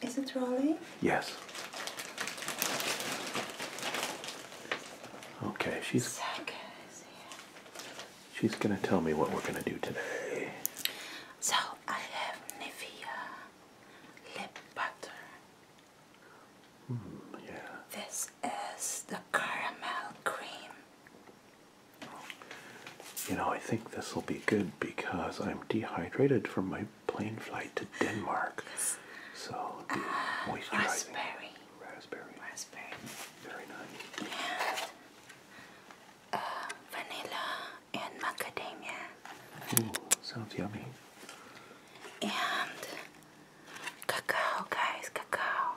Is it rolling? Yes. Okay, she's She's gonna tell me what we're gonna do today. So I have Nivea lip butter. Hmm, yeah. This is the caramel cream. You know, I think this will be good because I'm dehydrated from my plane flight to Denmark. So ah, raspberry. Raspberry. Raspberry. Very nice. Uh, vanilla and macadamia. Ooh, sounds yummy. And cacao, guys, cacao.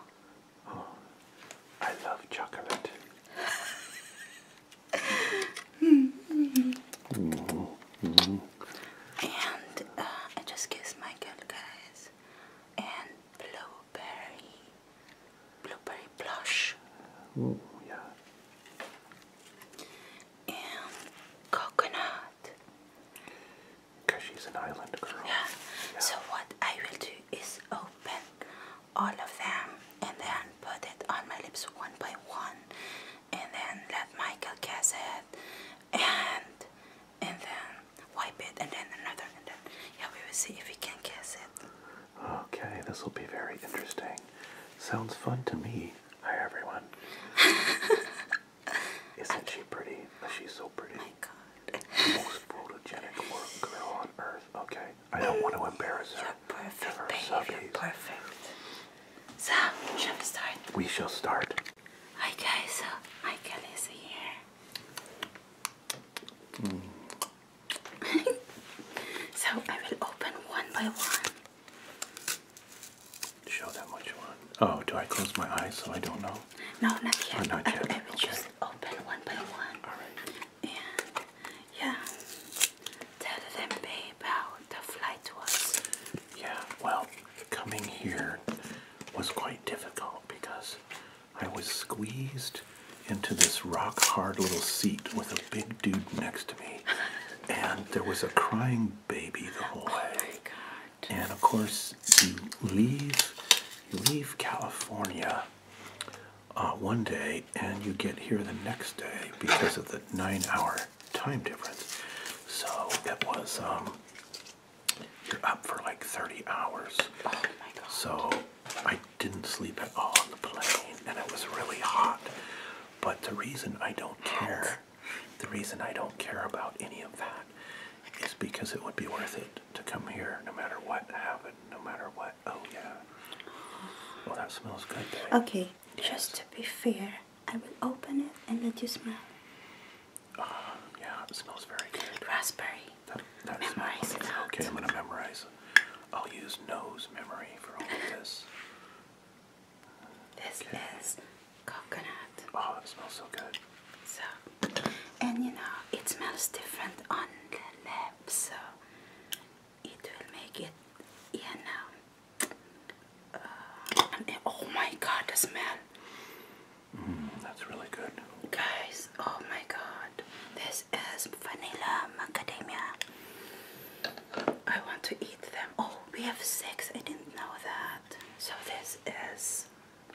Oh, I love chocolate. And uh, I just kissed my girl, guys. And blueberry, blueberry blush. Oh yeah. And coconut. Cause she's an island girl. yeah. So what I will do is open all of them and then put it on my lips one by one and then let Michael guess it and and then wipe it and then another and then yeah we will see if we can guess it. Okay, this will be very interesting. Sounds fun to me. Hi everyone. Isn't she pretty? She's so pretty. My God. Most photogenic girl on earth. Okay, I don't want to embarrass her perfect Ever perfect. So, we shall start. Okay, so Michael is here. Mm. so I will open one by one. Show them what you Oh, do I close my eyes so I don't know? No, not yet. Oh, not yet. I, will just open one by one. All right. And yeah. Tell them, babe, how the flight was. Yeah, well, coming here was quite difficult because I was squeezed into this rock hard little seat with a big dude next to me. and there was a crying baby the whole oh way. My God. And of course, you leave, you leave California uh, one day and you get here the next day because of the nine hour time difference. So it was um, you're up for like 30 hours. Oh my god. So I didn't sleep at all on the plane and it was really hot. But the reason I don't care, the reason I don't care about any of that is because it would be worth it to come here no matter what happened, no matter what. Oh yeah. Well, that smells good. Okay, just to be fair, I will open it and let you smell. Um, yeah, it smells very good. Raspberry. That, that memorize Okay, I'm going to memorize I'll use nose memory for all of this. This okay. is coconut. Oh, it smells so good. So, and you know, it smells different on the lips, so it will make it in uh, oh my god the smell mm, that's really good guys oh my god this is vanilla macadamia I want to eat them oh we have six I didn't know that so this is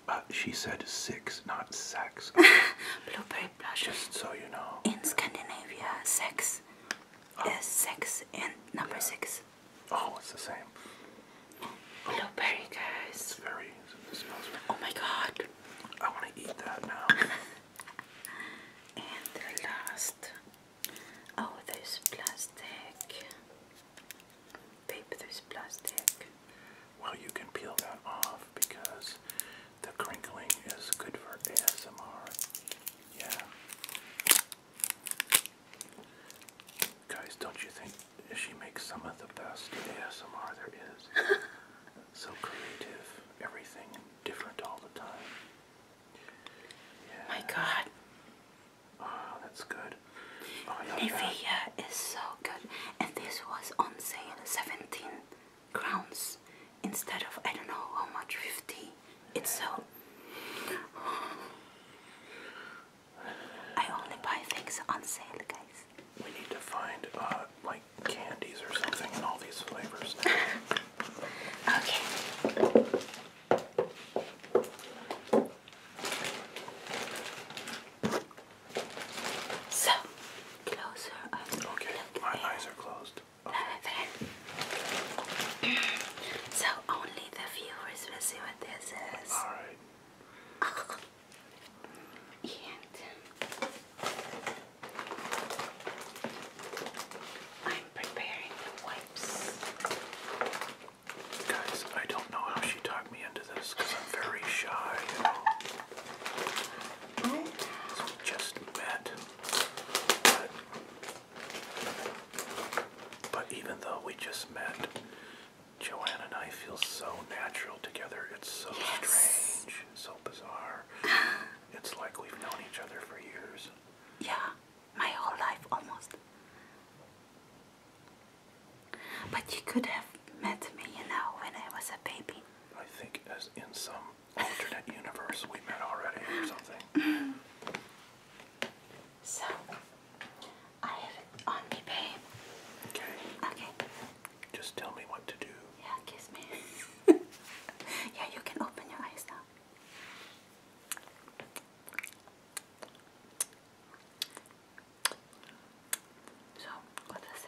uh, she said six not sex blueberry blush just so you know in Scandinavia sex is six and number yeah. six. Oh, it's the same. Blueberry, guys. It's very. oh my god. I want to eat that now. and the last. Oh, there's plastic. Paper, there's plastic. Well, you can peel that off because the crinkling is good for ASMR. Yeah. Guys, don't you think she makes some of the best ASMR there is? so creative, everything different all the time. Yeah. My God. Oh, that's good. Olivia oh, is so good, and this was on sale 17 crowns instead of I don't know how much fifty. It's so. I only buy things on sale, guys. We need to find uh, like candies or something in all these flavors. okay. So, closer. Okay, my eyes are closed so only the viewers will see what this is. All right. And I'm preparing the wipes. Guys, I don't know how she talked me into this because I'm very shy, just met. But even though we just met, Joanne and I feel so natural together. It's so strange, so bizarre. it's like we've known each other for years. Yeah, my whole life almost. But you could have met me, you know, when I was a baby. I think as in some alternate universe we met already or something. So, I have it on me, babe. Okay. Okay. Just tell me what to do. Yeah, kiss me. yeah, you can open your eyes now. So, what that?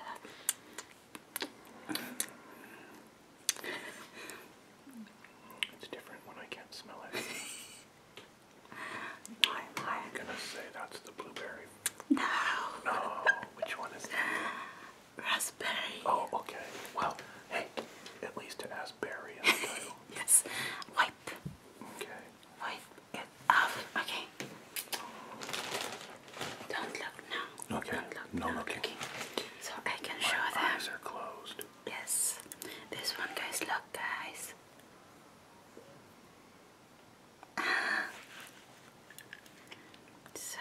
It's different when I can't smell it. My, my. I'm gonna say that's the blueberry. No. No. Which one is that? Raspberry. Oh, okay. Well, hey, at least it has yes. Wipe. Okay. Wipe it off. Okay. Don't look now. Okay. no, looking. looking. So I can show them. My eyes are closed. Yes, this one goes look, guys. so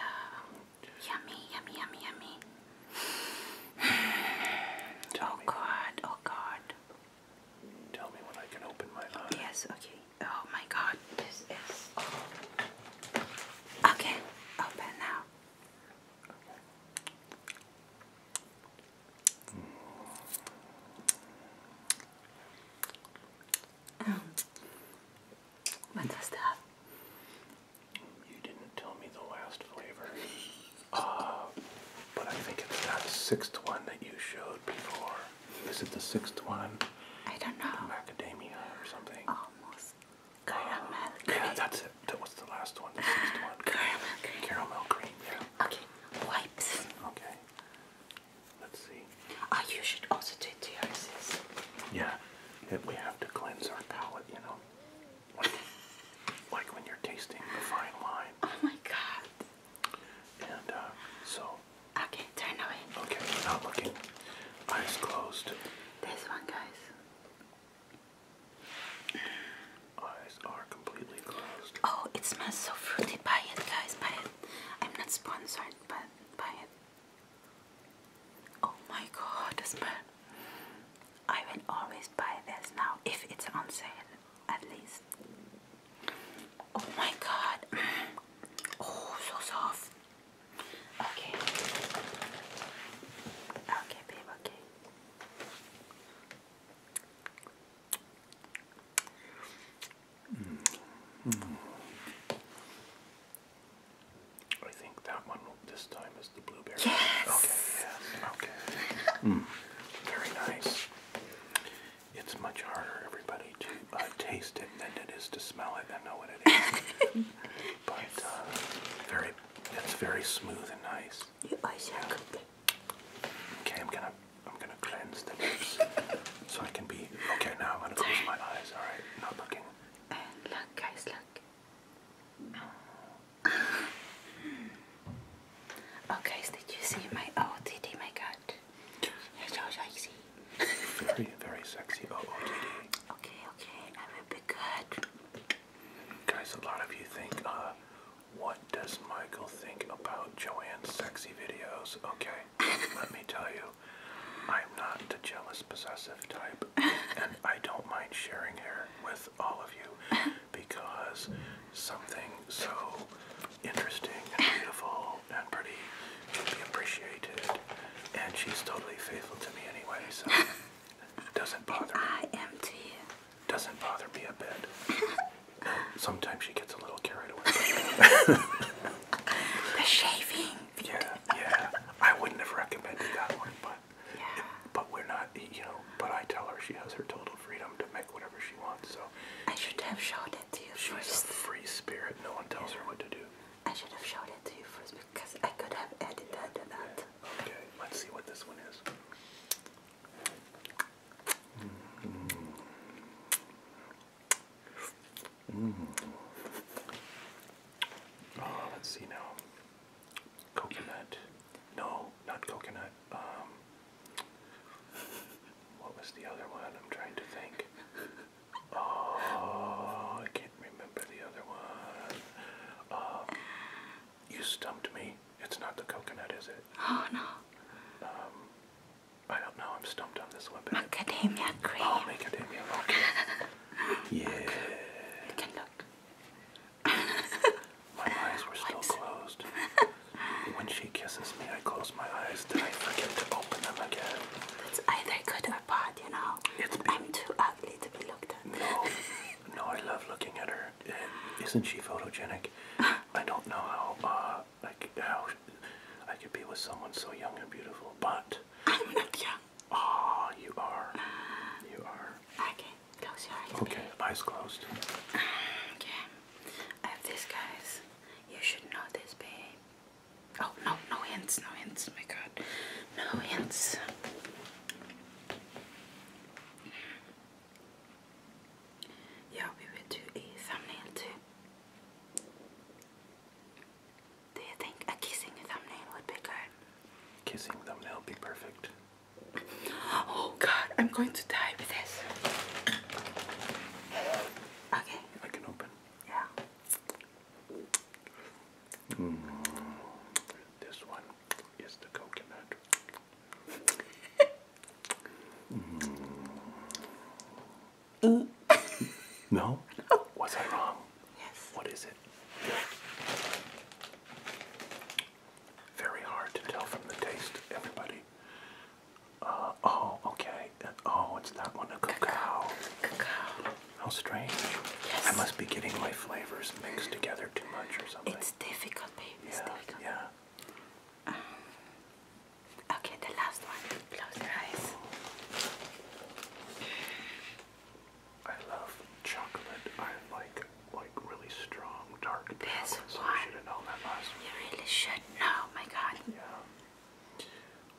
yummy, yummy, yummy, yummy. oh God! Oh God! Tell me when I can open my eyes. Yes. Okay. Oh my God! This is. Okay. Open now. Um, what does that? You didn't tell me the last flavor. Uh, but I think it's that sixth one that you showed before. Is it the sixth one? I don't know. macadamia or something. Almost. Caramel Yeah, that's it. That was the last one. The sixth one. Caramel cream. Okay, wipes. Okay. Let's see. Oh, you should also do TRCs. Yeah, we have to cleanse our palate, you know. Like, when you're tasting the fine wine. Oh my god. And, uh, so. Okay, turn away. Okay, not looking. Eyes closed. This one, guys. Oh, it smells so fruity. Buy it, guys. Buy it. I'm not sponsored, but buy it. Oh my god, the smell. I will always buy this now if it's on sale, at least. Oh my god. Oh, so soft. Okay. Okay, babe, okay. Mm. I think that one this time is the blueberry. Yes. Okay. Okay. mm. Very nice. It's much harder, everybody, to uh, taste it than it is to smell it and know what it is. but uh, very it's very smooth and nice. You are so good. Okay, I'm gonna I'm gonna cleanse the lips so I can be okay now I'm gonna close my eyes, alright? Not looking. And look guys, look. Okay, oh, guys, did you see my OTD oh, My God, you so sexy. very, very sexy OOTD. Okay, okay, I will be good. Guys, a lot of you think, uh, what does Michael think about Joanne's sexy videos? Okay, let me tell you, I'm not the jealous possessive type, and I don't mind sharing her with all of you because something so interesting and beautiful and pretty should be appreciated, and she's totally faithful to me anyway, so. Doesn't bother me. I am too. Doesn't bother me a bit. sometimes she gets a little carried away. the shaving. Yeah, yeah. I wouldn't have recommended that one, but but we're not, you know. But I tell her she has her total freedom to make whatever she wants. So I should have showed it to you She's first. a free spirit. No one tells her what to do. I should have showed it to you first because I could have added that to that. Okay, let's see what this one is. Mm. Mm. Oh, let's see now. Coconut. No, not coconut. Um, what was the other one? I'm trying to think. Oh, I can't remember the other one. Um, you stumped me. It's not the coconut, is it? Oh no. Um, I don't know. I'm stumped on this one. But macadamia cream. Oh, macadamia. yeah. can look. my eyes were still closed. When she kisses me, I close my eyes. Then I forget to open them again. It's either good or bad, you know. I'm too ugly to be looked at. No, I love looking at her. And isn't she photogenic? I don't know how uh, like how I could be with someone so young and beautiful, but I'm not young. Ah, oh, you are. Uh, you are. Okay, close your eyes. Okay, baby. eyes closed. Okay, I have this, guys. You should know this, babe. Oh no, no hints, no hints. Oh my God, no hints. Yeah, we will do a thumbnail too. Do you think a kissing thumbnail would be good? Kissing thumbnail would be perfect. Oh god, I'm going to die with this. Okay. I can open. Yeah. Mm, this one. Yes, the coconut. Mm. no? Was I wrong? Yes. What is it? Very hard to tell from the taste, everybody. Uh, oh, okay. Uh, oh, it's that one, a cacao. Cacao. How strange. I must be getting my flavors mixed together too much or something. It's difficult, baby. Yeah, it's difficult. Yeah. Um, okay, the last one. Close your eyes. I love chocolate. I like like really strong dark this one. You really should know, my god. Yeah.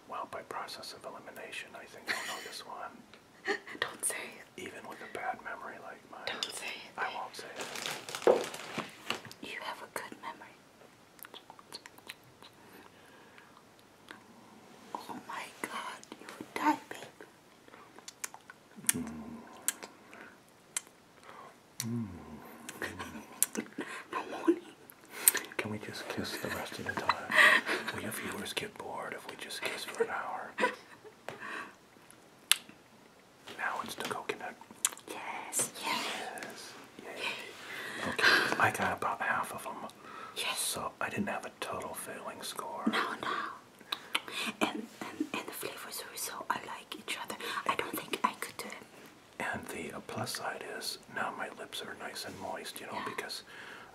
Well, by process of elimination, I think I know this one. Don't say it. Even with a bad memory like mine. Don't say it. I won't say it. You have a good memory. Oh my god, you would die, babe. Mm. Mm. no warning. Can we just kiss the rest of the time? Will your viewers get bored if we just kiss for an hour? Now it's the coconut. Yes. Yes. yes. Okay, I got about half of them. Yes. So I didn't have a total failing score. No, no. And, and, and the flavors are so alike each other. I don't think I could do uh, it. And the uh, plus side is now my lips are nice and moist, you know, because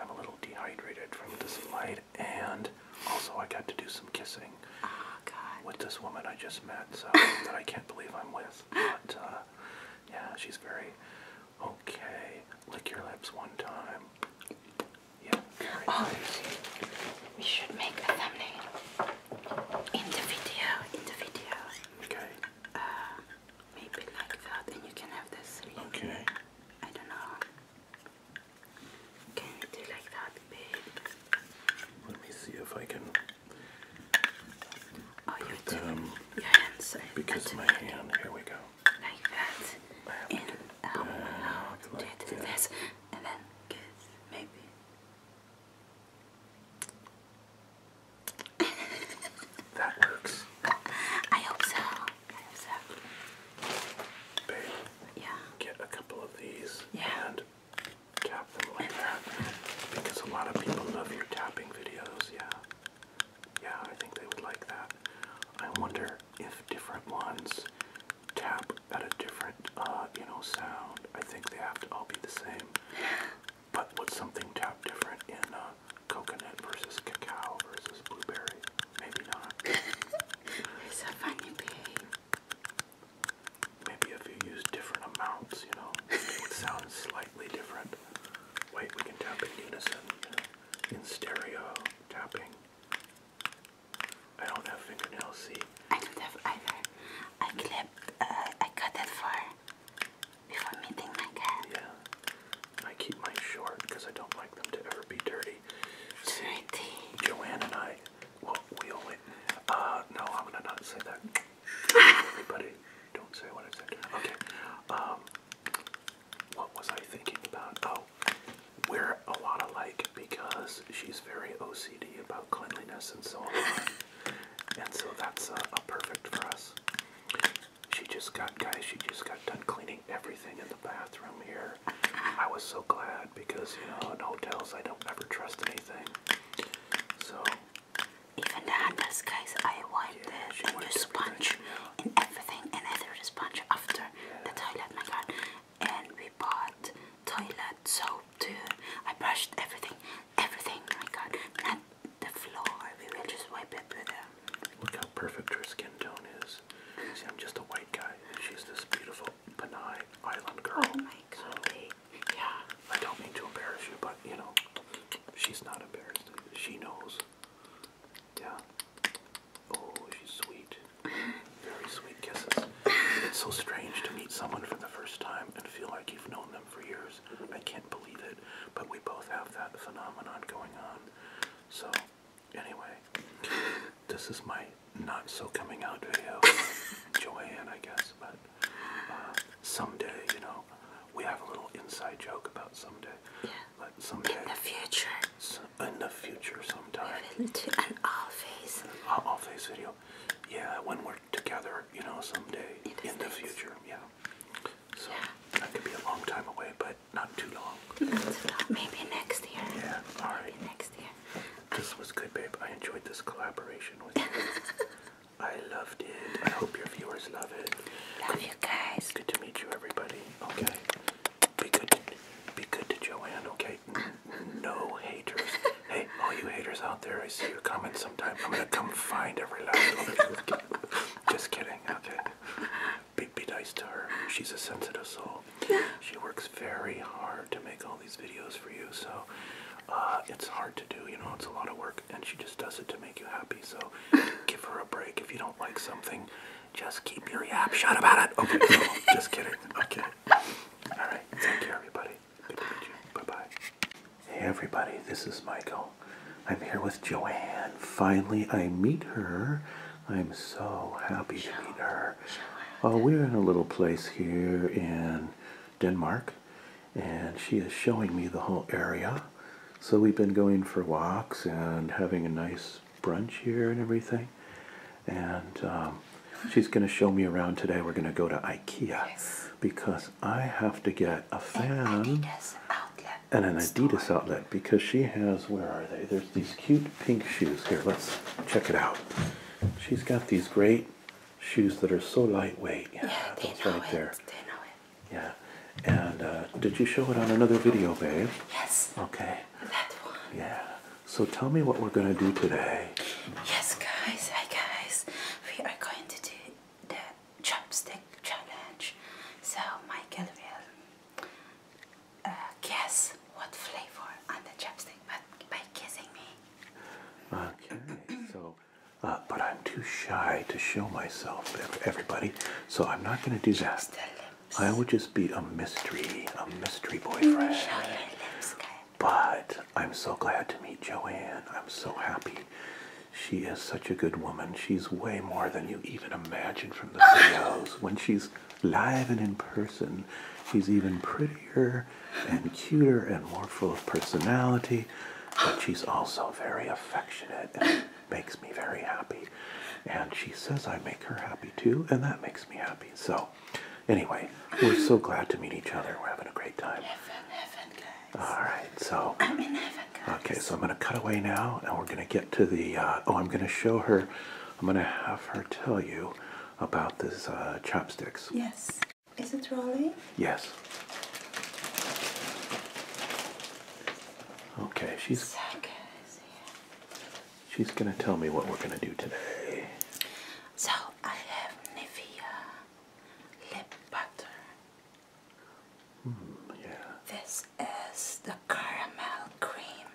I'm a little dehydrated from this flight and also I got to do some kissing oh, with this woman I just met, so that I can't believe I'm with. But uh, yeah, she's very okay. Lick your lips one time. Yeah, oh, We should make a thumbnail in the video. In the video. Okay. Uh, maybe like that, and you can have this. Really. Okay. I don't know. Can you do like that, babe? Let me see if I can. Oh, you um, Because my hand, here we go. Like that. In, out, out. Like um, this. And then kiss, maybe. that works. I hope so. Yeah. Get a couple of these and tap them like that. Because a lot of people love your tapping videos, yeah. Yeah, I think they would like that. I wonder if different ones tap at a different, uh, you know, sound. I think they have to all be the same. But would something tap different in uh, coconut versus cacao versus blueberry? Maybe not. You're funny, babe. Maybe if you use different amounts, you know, it sounds slightly different. Wait, we can tap in unison, in stereo tapping. I don't have fingernails, see? I don't have either. I clipped, uh, I cut it for before meeting my cat. Yeah. I keep mine short because I don't like them to ever be dirty. Joanne and I, well, we all uh, no, I'm gonna not say that. Everybody, don't say what I said. Okay, um, what was I thinking about? Oh, we're a lot alike because she's very OCD about cleanliness and so on. and so that's a perfect for us. She just got, guys, she just got done cleaning everything in the bathroom here there. I was so glad because you know in hotels I don't ever trust anything. So even in this case, I want yeah, the, the new sponge yeah. and everything, and I threw the sponge after yeah. the toilet. My God! And we bought toilet soap too. I brushed everything, everything. My God! Not the floor. We will just wipe it with a um, Look how perfect her skin tone is. See, I'm just a white guy, she's this beautiful Panay Island girl. Oh my god. yeah, I don't mean to embarrass you, but you know, she's not embarrassed. She knows. Yeah. Oh, she's sweet. Very sweet kisses. It's so strange to meet someone for the first time and feel like you've known them for years. I can't believe it, but we both have that phenomenon going on. So, Anyway, this is my not so coming out video, Joanne, I guess, but uh, someday, you know, we have a little inside joke about someday. Yeah. But someday. In the future. in the future, sometime. Into an all An all video. Yeah, when we're together, you know, someday in, the future. Yeah. So yeah. that could be a long time away, but not too long. Maybe next year. Yeah, all right. next year. This was good, babe. I enjoyed this collaboration with you. I loved it. I hope your viewers love it. Love you guys. Good to meet you, everybody. Okay. Be good. be good to Joanne. Okay. No haters. hey, all you haters out there, I see your comments sometimes. I'm gonna come find every last one of you. Just kidding. Okay be nice to her. She's a sensitive soul. She works very hard to make all these videos for you, so uh, it's hard to do. You know, it's a lot of work, and she just does it to make you happy. So give her a break. If you don't like something, just keep your yap shut about it. Okay, just kidding. Okay. All right. Take care, everybody. Bye bye. Hey, everybody. This is Michael. I'm here with Joanne. Finally, I meet her I'm so happy to meet her. Oh, we're in a little place here in Denmark, and she is showing me the whole area. So we've been going for walks and having a nice brunch here and everything. And um, she's going to show me around today. We're going to go to IKEA because I have to get a fan and an Adidas outlet because she has, where are they? There's these cute pink shoes. Here, let's check it out. She's got these great shoes that are so lightweight. Yeah, They know it. Yeah. And uh, did you show it on another video, babe? Yes. Okay. That one. Yeah. So tell me what we're going to do today. Yes, guys. Hi, guys. We are going to do the chopstick challenge. So Michael will uh, guess what flavor on the chapstick but by kissing me. Okay, so, uh, but I'm too shy to show myself, everybody, so I'm not going to do that. Just I will just be a mystery, a mystery boyfriend. But I'm so glad to meet Joanne. I'm so happy. She is such a good woman. She's way more than you even imagine from the videos. When she's live and in person. she's even prettier and cuter and more full of personality, but she's also very affectionate and makes me very happy. And she says I make her happy too, and that makes me happy. So, anyway, we're so glad to meet each other. We're having a great time. Heaven, heaven, guys. All right, so. I'm in heaven, guys. Okay, so I'm going to cut away now, and we're going to get to the. Uh, oh, I'm going to show her I'm going to have her tell you about this uh, chopsticks. Yes. Is it rolling? Yes. Okay, she's She's going to tell me what we're going to do today. So, I have Nivea lip butter. Hmm, yeah. This is the caramel cream.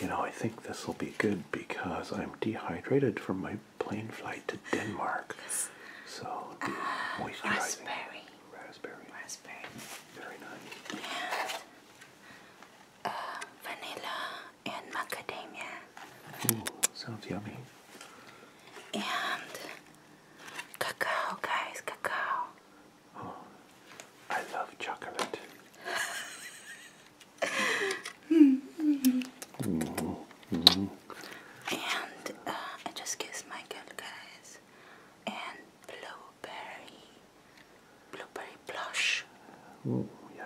You know, I think this will be good because I'm dehydrated from my plane flight to Denmark. Yes. So, uh, moisturizing. Raspberry. Raspberry. Raspberry. Very nice. And uh, vanilla and macadamia. Ooh, sounds yummy. And cacao, guys, cacao. I love chocolate. And uh, I just kissed my girl, guys. And blueberry, blueberry blush. Ooh, yeah.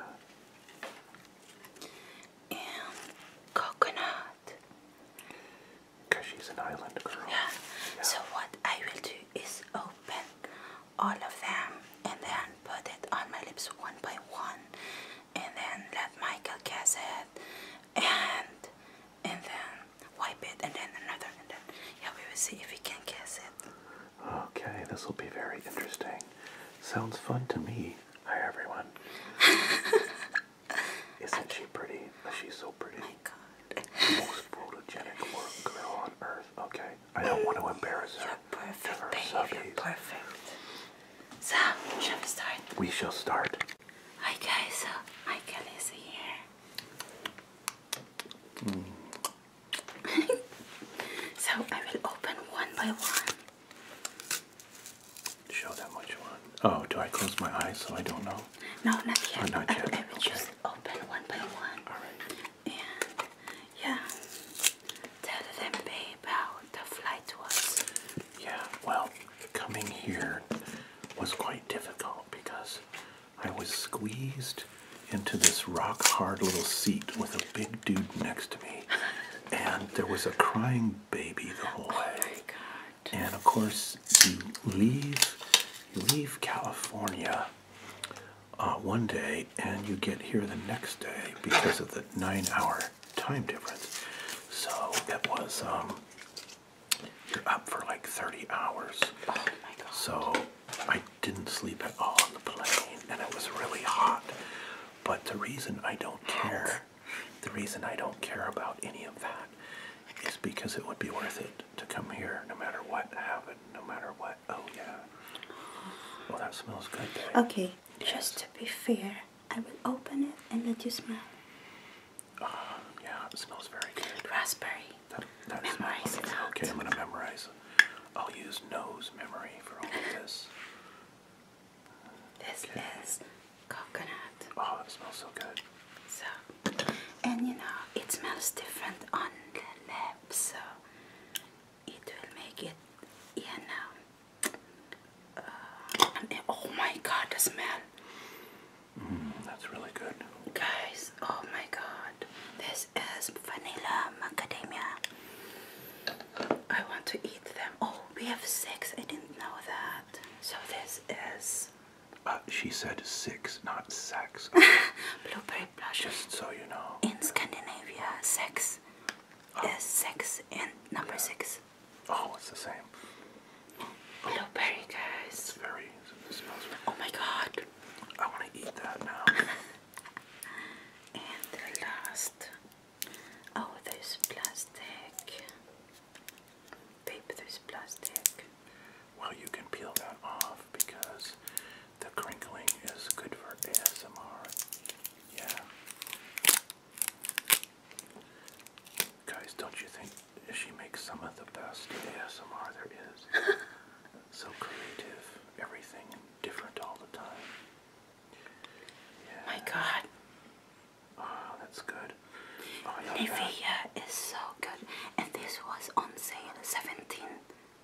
And coconut. she's an island girl. Yeah. So what I will do is. Oh, all of them and then put it on my lips one by one and then let Michael guess it and and then wipe it and then another and then yeah we will see if we can guess it. Okay, this will be very interesting. Sounds fun to me. Hi everyone. Isn't she pretty? She's so pretty most photogenic girl on earth. Okay, I don't want to embarrass her. you perfect, perfect. So, shall we start? We shall start. Hi guys, so uh, Michael here. Hmm. so I will open one by one. Show them what you want. Oh, do I close my eyes so I don't know? No, not yet. Oh, not yet. I, I will okay. just open one by one. All right. And yeah, tell them, babe, how the flight was. Yeah, well, coming here was quite difficult because I was squeezed into this rock hard little seat with a big dude next to me. and there was a crying baby the whole oh way. My God. And of course, you leave you leave California uh, one day and you get here the next day because of the nine hour time difference. So it was, um, you're up for like 30 hours. Oh so I didn't sleep at all on the plane and it was really hot. But the reason I don't care, the reason I don't care about any of that is because it would be worth it to come here no matter what happened, no matter what. Oh, yeah. Well, that smells good. Okay, just to be fair, I will open it and let you smell. Um, yeah, it smells very good. Raspberry. That, that memorize it Okay, I'm going to memorize it. I'll use nose memory for all of this. This is coconut. Oh, it smells so good. So, and you know, it smells different on the lips, so it will make it, you know. Uh, oh my god, this man. Mm, that's really good. Guys, oh my god, this is vanilla macadamia. I want to eat them. Oh, we have six, I didn't know that. So, this is uh, she said six, not sex. Blueberry blush. Just so you know. In Scandinavia, sex oh. is sex and number yeah. six. Oh, it's the same. Blueberry, guys. It's very. It smells oh my god. I want to eat that now. and the last. Oh, this plastic. Babe, there's plastic. Well, you can peel that off because the crinkling is good for ASMR. Yeah. Guys, don't you think she makes some of the best ASMR there is? so creative, everything different all the time. Yeah. My God. Oh, that's good. Oh, is so good, and this was on sale 17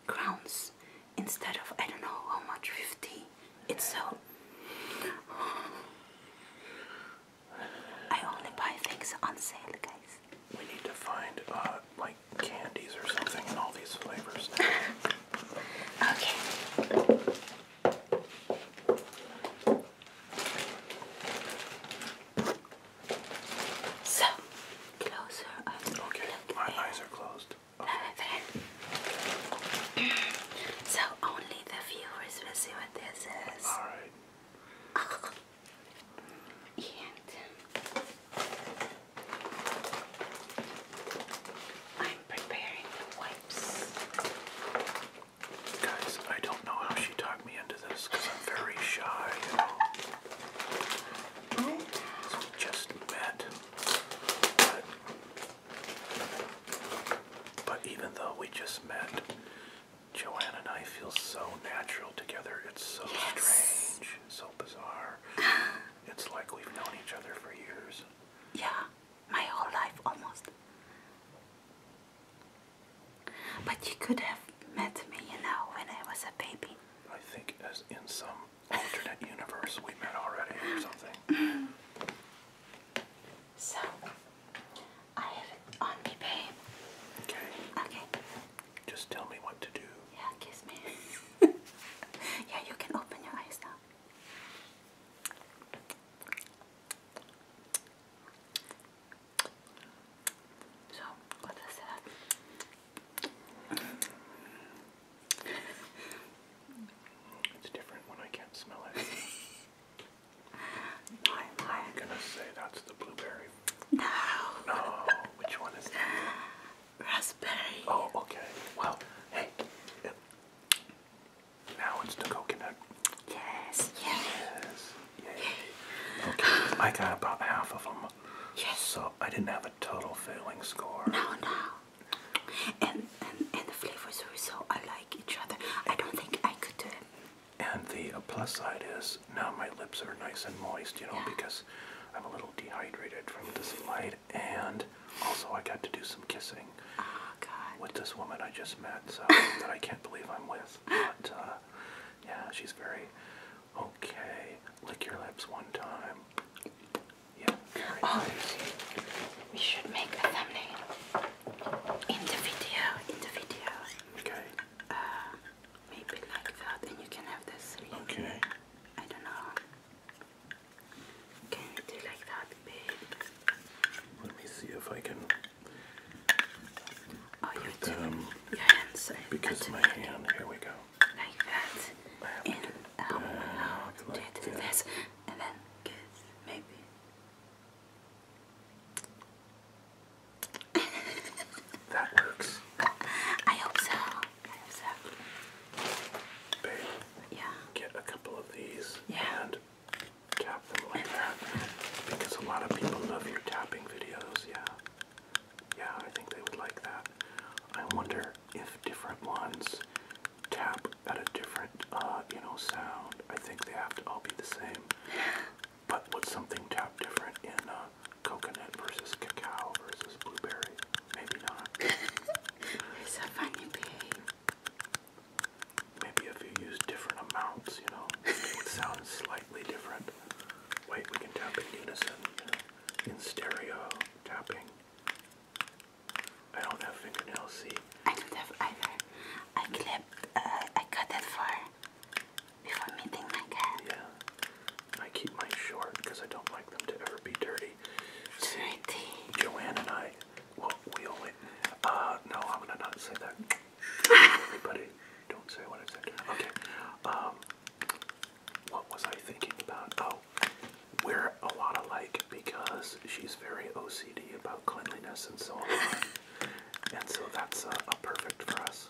crowns instead of I don't know how much 50 It's so. I only buy things on sale, guys. We need to find uh, like candies or something in all these flavors. okay. So, closer and Okay, my eyes are closed. so, only the viewers will see what this is. Alright. And I'm preparing the wipes. Guys, I don't know how she tied me into this because I'm very shy, we just met. But, even though we just met, Joanne and I feel so natural together. It's so strange, so bizarre. it's like we've known each other for years. Yeah, my whole life almost. But you could have met me, you know, when I was a baby. I think as in some alternate universe we met already or something. So I have on me, babe. Okay. Okay. Just tell me what to do. Yeah, kiss me. yeah, you can open your eyes now. So, what is that? it's different when I can't smell it. I'm gonna say that's the blueberry. No. No. Which one is that? Raspberry. Oh, okay. Well, hey. now it's the coconut. Yes. Yes. Yes. Okay. I got about half of them. Yes. So I didn't have a total failing score. No, no. And, and, and the flavors were so alike each other. I don't think I could do uh, it. And the uh, plus side is now my lips are nice and moist, you know, because I'm a little dehydrated from this flight. And also, I got to do some kissing oh, God. with this woman I just met, so that I can't believe I'm with. But uh, yeah, she's very Okay, lick your lips one time. Yeah, oh, We should make a thumbnail in the video. In the video. Okay. Uh, maybe like that, and you can have this. Really. Okay. I don't know. Can you do like that, babe? Let me see if I can Oh, you put them um, your hands because my hand. Here we go. Like that. In out, out. Like do and then kiss, maybe. that works. I hope so. Yeah. Get a couple of these. And tap them like that. Because a lot of people love your tapping videos, yeah. Yeah, I think they would like that. I wonder if different ones tap at a different, uh, you know, sound. I think they have to all be the same. But what's something tap different in uh, coconut versus cacao versus blueberry? Maybe not. it's a funny pig. Maybe if you use different amounts, you know, it sounds slightly different. Wait, we can tap in unison, you know, in stereo tapping. I don't have fingernails, see? I don't have either. I clipped, uh, I cut it for before meeting my cat. Yeah, I keep mine short because I don't like them to ever be dirty. See, dirty. Joanne and I, well, we only, uh, no, I'm gonna not say that. Everybody, don't say what I said. Okay, um, what was I thinking about? Oh, wear a lot of like because she's very OCD about cleanliness and so on. and so that's a, a perfect for us.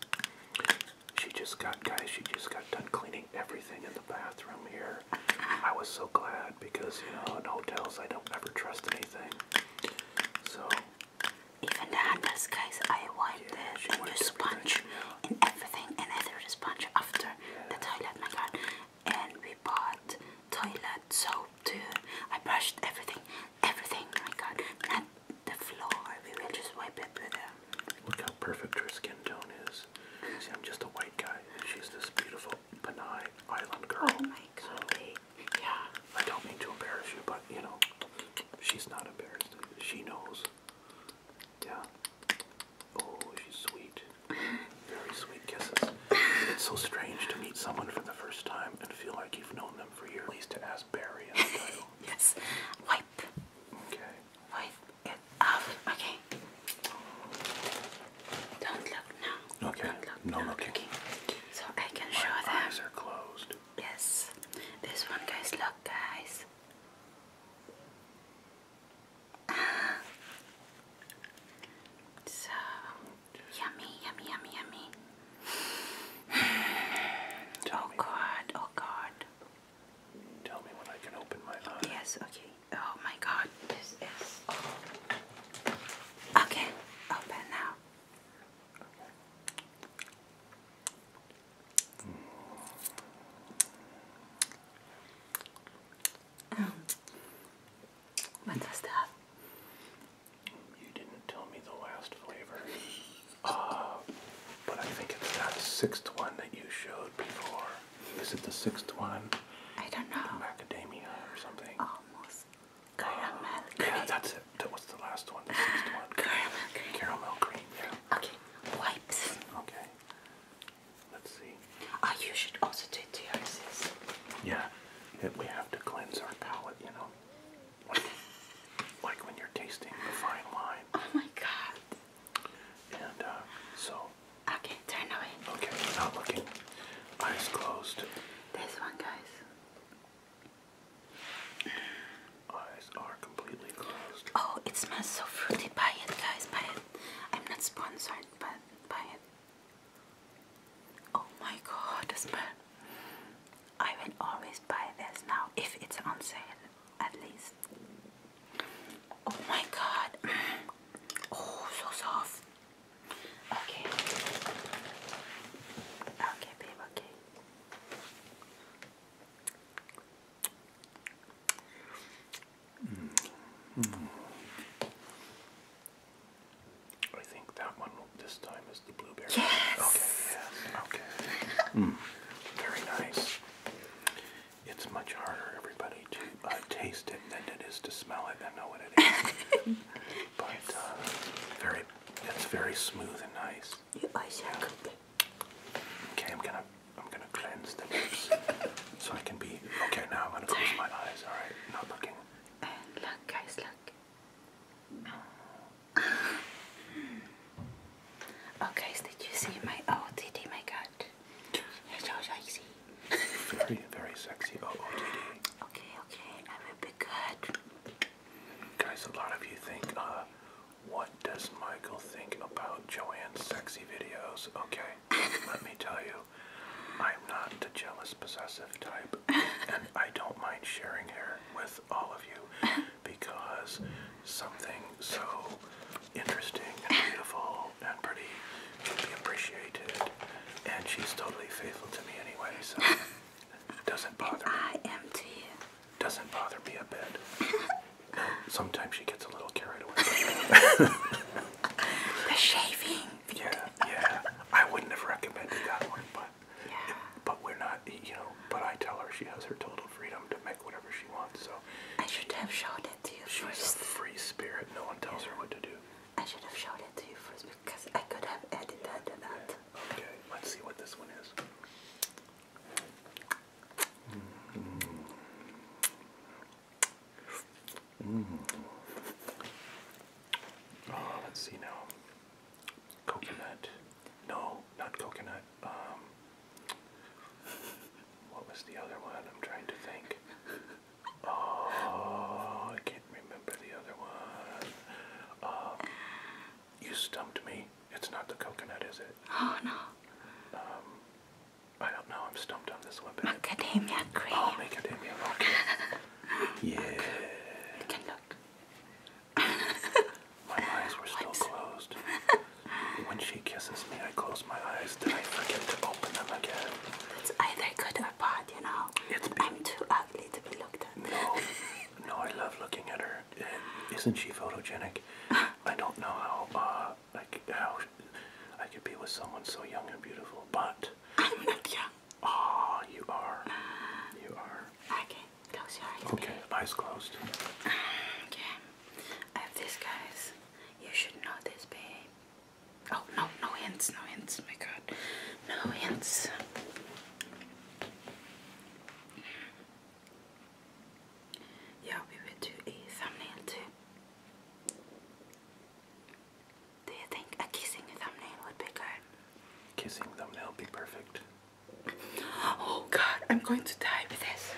She just got, guys, she just got done cleaning everything in the bathroom here. I was so glad because, you know, in hotels I don't ever trust anything. So even the handles, guys, I wipe the with sponge and everything, and I threw sponge after the toilet, my god. And we bought toilet soap too. I brushed everything, everything, my god. Not the floor, we will just wipe it with a. Look how perfect her skin tone is. See, I'm just a white guy, she's this beautiful Panay Island girl. Oh my god. So, yeah. I don't mean to embarrass you, but you know, she's not embarrassed. She knows yeah. Oh, she's sweet. Very sweet kisses. It's so strange to meet someone for the first time and feel like you've known them for years. At to ask Barry yes. Wipe. Okay. Wipe it off. Okay. Don't look now. Okay. no, looking. So I can show them. My eyes are closed. Yes, this one goes look, guys. Ah. So yummy, yummy, yummy, yummy. oh god, oh god. Tell me when I can open my eyes. Yes, okay. Oh my god, this is. Okay, open now. Okay. Um, what was that? You didn't tell me the last flavor. Uh, but I think it's that sixth one that you showed before. Is it the sixth one? I don't know. macadamia or something. Almost. Caramel uh, that's it. That was the last one. The sixth one. Caramel cream. Caramel cream, yeah. Okay, wipes. Okay. Let's see. Oh, you should also do TRCs. Yeah, we have to cleanse our palate, you know. Like, when you're tasting the fine wine. Oh my god. And uh, so. Okay, turn away. Okay, not looking. Eyes closed. This one, guys. Oh, it smells so fruity. Buy it, guys. Buy it. I'm not sponsored, but buy it. Oh my god, the smell. I will always buy this now if it's on sale, at least. Oh my god. oh, so soft. Okay. Okay, babe, okay. Mm. I think that one this time is the blueberry. Yes. Okay. Yes. Okay. mm. Very nice. It's much harder, everybody, to uh, taste it than it is to smell it and know what it is. but uh, very, it's very smooth and nice. You are so yeah. good. Okay, I'm gonna I'm gonna cleanse the lips so I can be okay now I'm gonna close my eyes, alright? Not looking. And look guys, look. Oh guys, did you see my OTD oh, my god? You're so sexy. very, very sexy OOTD. Oh, okay, okay, I will be good. Guys, a lot of you think uh what does Michael think about Joanne's sexy videos? Okay, let me tell you, I'm not the jealous possessive type, and I don't mind sharing her with all of you because something so interesting and beautiful and pretty should be appreciated, and she's totally faithful to me anyway, so it doesn't bother me. I am to you doesn't bother me a bit. Sometimes she gets a little carried away. the shaving. Yeah, yeah. I wouldn't have recommended that one, but but we're not, you know. But I tell her she has her total freedom to make whatever she wants. So I should have showed it to you she's first. She's a free spirit. No one tells her what to do. I should have showed it to you first because I could have edited that out. Okay, let's see what this one is. Mm. Mm. Oh, let's see now. Coconut. No, not coconut. Um, what was the other one? I'm trying to think. Oh, I can't remember the other one. Um, you stumped me. It's not the coconut, is it? Oh no. Um, I don't know. I'm stumped on this one. But macadamia cream. Oh, macadamia. yeah. can look. my eyes were still closed. when she kisses me, I close my eyes. Then I forget to open them again. It's either good or bad, you know. It's I'm too ugly to be looked at. No, I love looking at her. isn't she photogenic? I don't know how uh, like how I could be with someone so young and beautiful, but I'm not young. Ah, you are. Uh, you are. Okay, close your eyes. Okay, baby. eyes closed. Okay, I have these guys. You should know this, babe. Oh no, no hints, no hints. My God, no hints. Yeah, we will do a thumbnail too. Do you think a kissing thumbnail would be good? Kissing thumbnail would be perfect. Oh god, I'm going to die with this.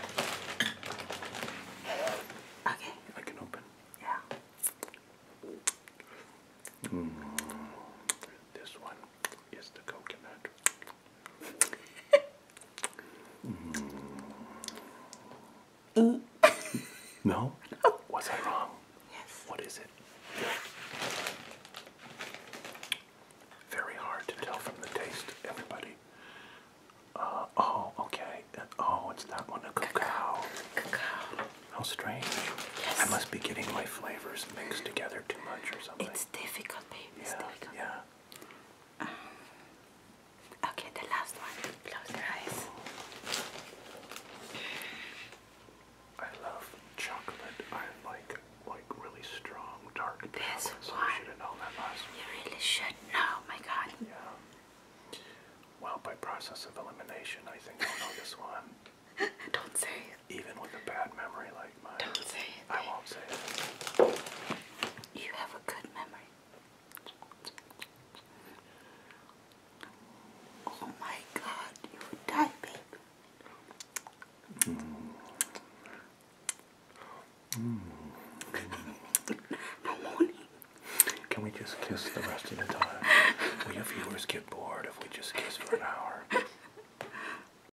Okay. I can open. Yeah. Mm, this one. Yes, the coconut. Mm. no? Was I wrong? Yes. What is it? Very hard to tell from the taste, everybody. Uh, oh, okay. Oh, it's that one, a cacao. Cacao. How strange. Yes. I must be getting my flavors mixed together too much or something. It's difficult, okay, the last one. Close your eyes. I love chocolate. I like like really strong dark this one. you really should know, oh my god. Yeah. Well, by process of elimination, I think I know this one. Don't say Even with a bad memory like don't say it. I won't say it. You have a good memory. Oh my God, you would die, baby. Mm. Mm. I'm Can we just kiss the rest of the time? Will your viewers get bored if we just kiss for an hour?